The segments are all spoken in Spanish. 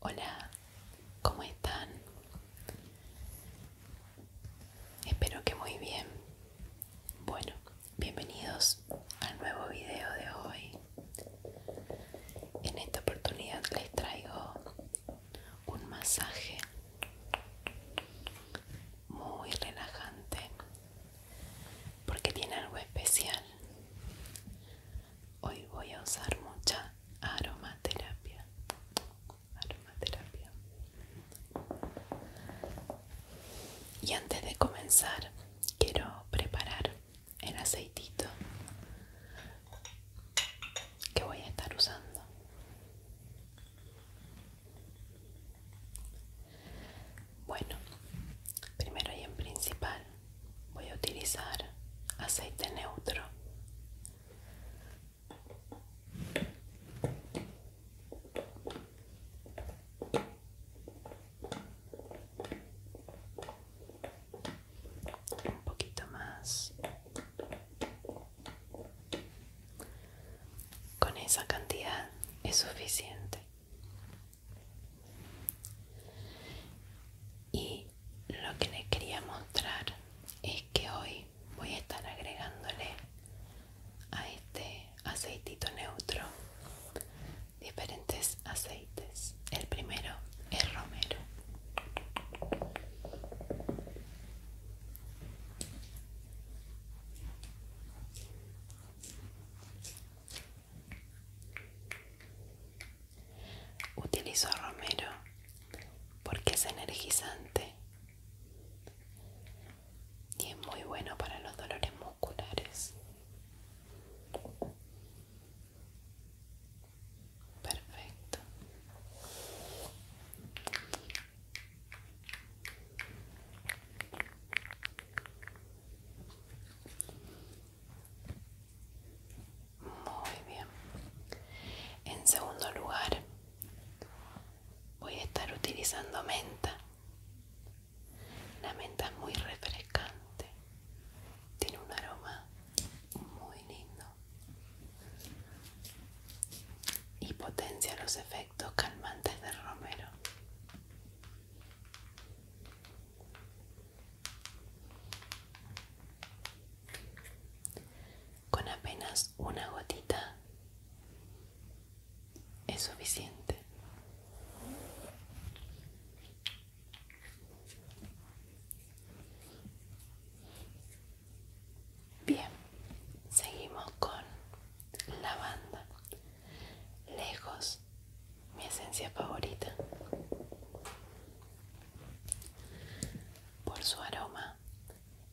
Hola, ¿cómo están? Espero que muy bien. Bueno, bienvenidos al nuevo video de hoy. En esta oportunidad les traigo un masaje muy relajante porque tiene algo especial Hoy voy a usar mucha aromaterapia. Aromaterapia. Y antes de comenzar, quiero preparar el aceitito que voy a estar usando. Bueno, primero y en principal voy a utilizar aceite neutro un poquito más con esa cantidad es suficiente y lo que les quería mostrar es que hoy voy a estar agregándole a este aceitito neutro diferentes aceites el primero es romero Utilizo romero porque es energizante y es muy bueno para los dolores musculares. Perfecto. Muy bien. En segundo lugar, voy a estar utilizando menta. La menta es muy refrescante. Tiene un aroma muy lindo. Y potencia los efectos calmantes del romero. Con apenas una gotita es suficiente. Bien, seguimos con lavanda. Lejos mi esencia favorita por su aroma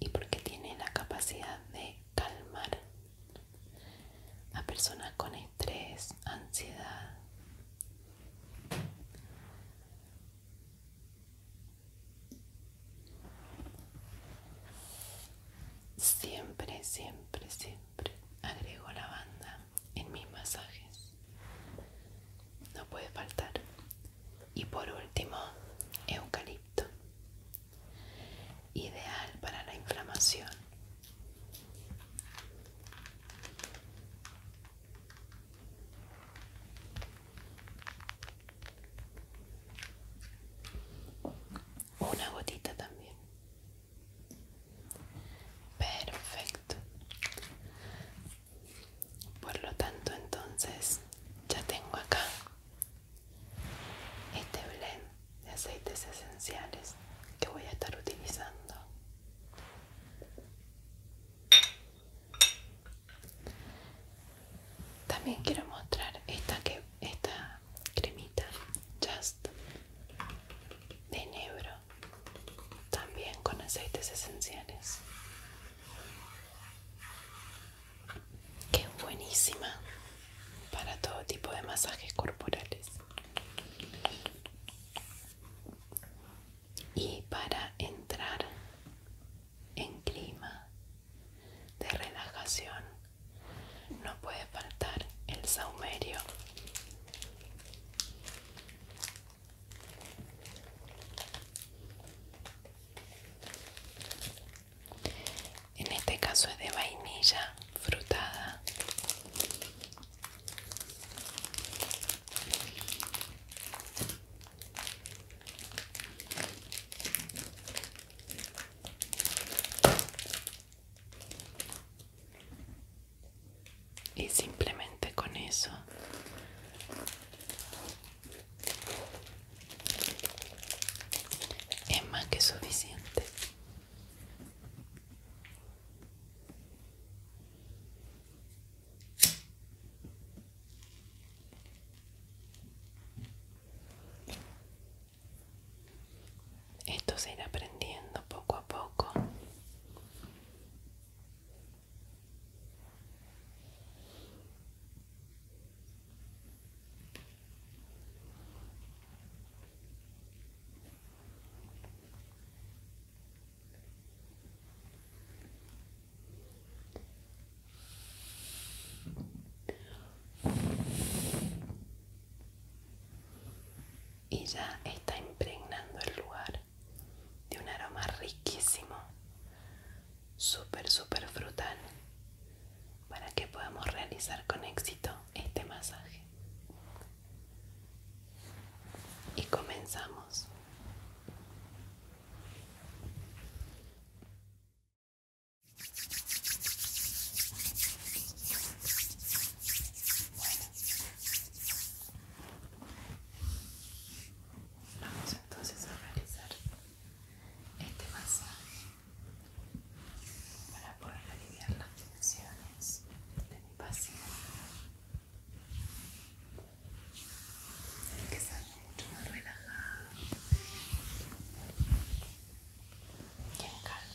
y porque tiene la capacidad de calmar a personas con estrés, ansiedad. Siempre, siempre, siempre agrego lavanda en mis masajes. No puede faltar. Y por último, eucalipto. Ideal para la inflamación. Una gotita también. Perfecto. Por lo tanto, entonces ya tengo acá este blend de aceites esenciales que voy a estar utilizando. También quiero mostrar esta que esta cremita Just de negro también con aceites esenciales. Que es buenísima para todo tipo de masajes corporales. Y para entrar en clima de relajación no puede faltar el saumerio en este caso es de vainilla frutada y simplemente con eso es más que suficiente esto se irá aprendiendo poco a poco y ya está impregnando el lugar de un aroma riquísimo, súper, súper frutal, para que podamos realizar con éxito este masaje. Y comenzamos. Bueno. Vamos entonces a realizar este masaje para poder aliviar las tensiones de mi paciente. Así que estar mucho más relajado. en calma.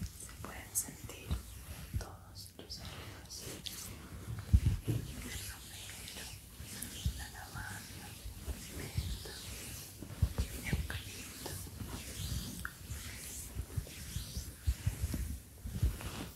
Se pueden sentir todos los aromas, el romero, la lavanda, el eucalipto.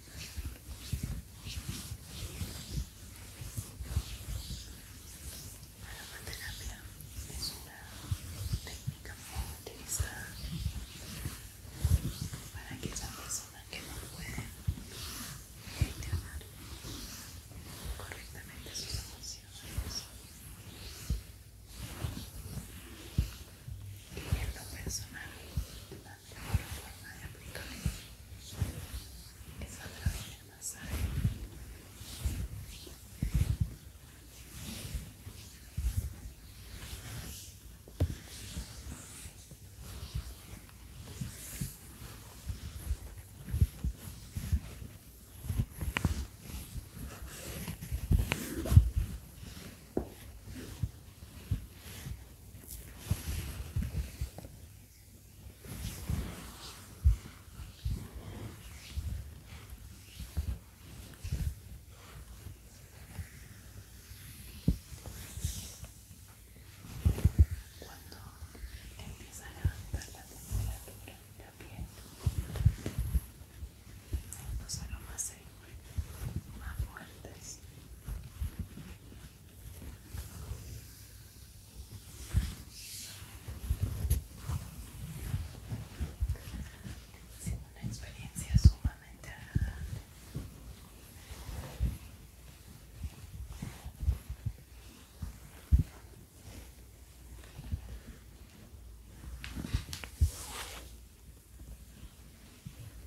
La terapia es una técnica muy utilizada para aquellas personas que no pueden gestionar correctamente sus emociones. Y en lo mejor forma de aplicarlo es a través del masaje. Cuando empiezan a dar la temperatura de la piel, los aromas se más fuertes. Ha una experiencia sumamente agradable.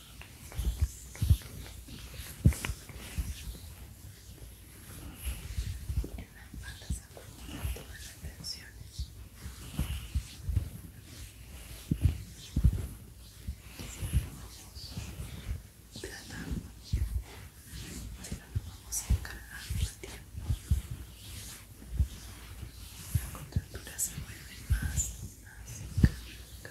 En las patas acumulan todas las tensiones. lo vamos tratando, si no vamos a encargar más tiempo. Las contracturas se vuelven más y más. Cada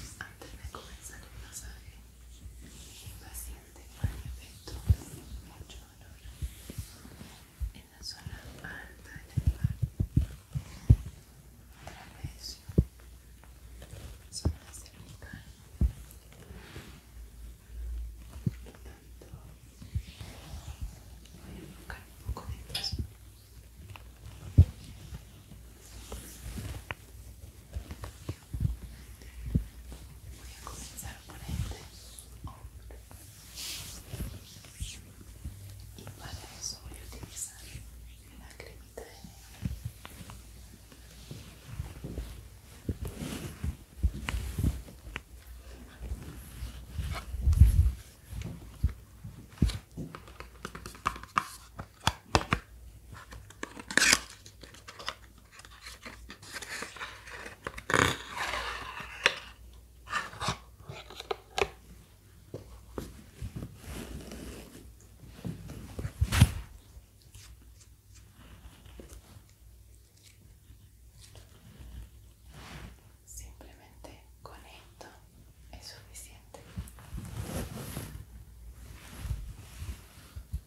Antes de comenzar el masaje, de un efecto mucho dolor en la zona alta del animal. Otra vez, zona cervical. Por lo tanto, voy a enfocar un poco de eso. Voy a comenzar por este hombro. Y para eso voy a utilizar la cremita de negro. Simplemente con esto es suficiente.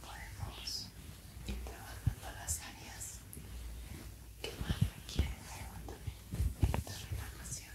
podemos ir trabajando las áreas que más requieren de esta relajación.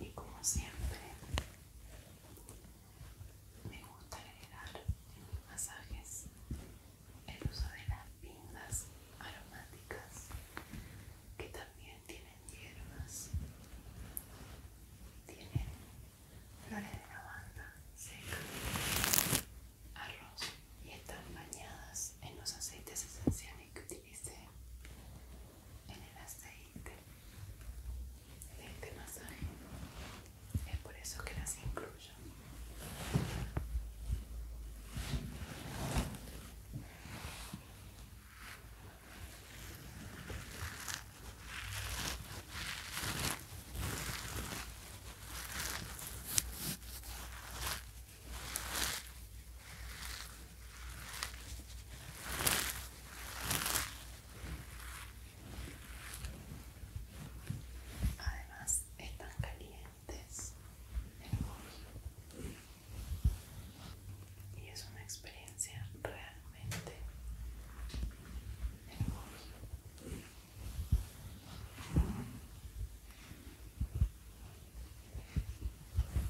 y como siempre me gusta agregar en mis masajes el uso de las pindas aromáticas que también tienen hierbas tienen flores de lavanda seca arroz y están bañadas en los aceites esenciales que utilicé en el aceite este, de este masaje. Es por eso que las incluyo. Además, están calientes y es una experiencia realmente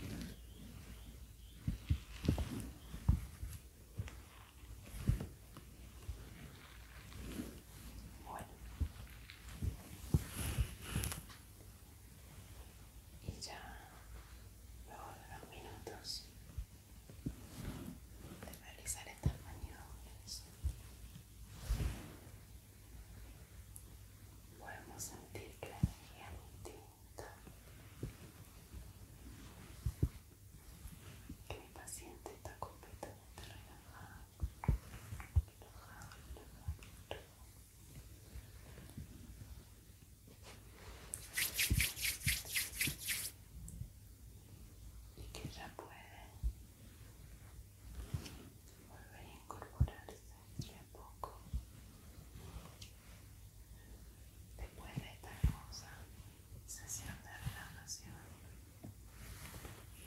Bueno. Y ya luego de los minutos de realizar estas maniobras podemos sentir que la energía es distinta que mi paciente está completamente relajado y que ya puede volver a incorporarse ¿Y poco después de esta hermosa sesión de relajación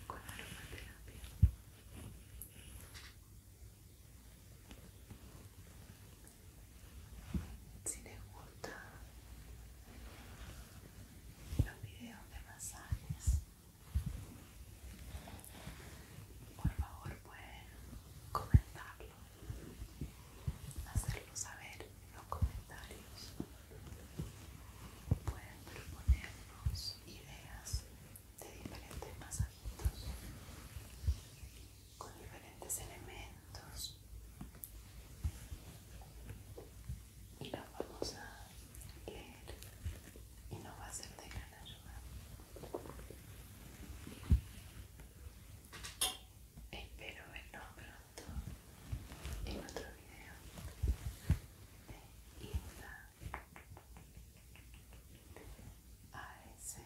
con de aromaterapia si les gusta los videos de masajes por favor pueden comentarlo, hacerlo saber en los comentarios, pueden proponernos ideas de diferentes masajitos con diferentes elementos y los vamos a leer y nos va a ser de gran ayuda Espero vernos pronto en otro video de Insta ASMR.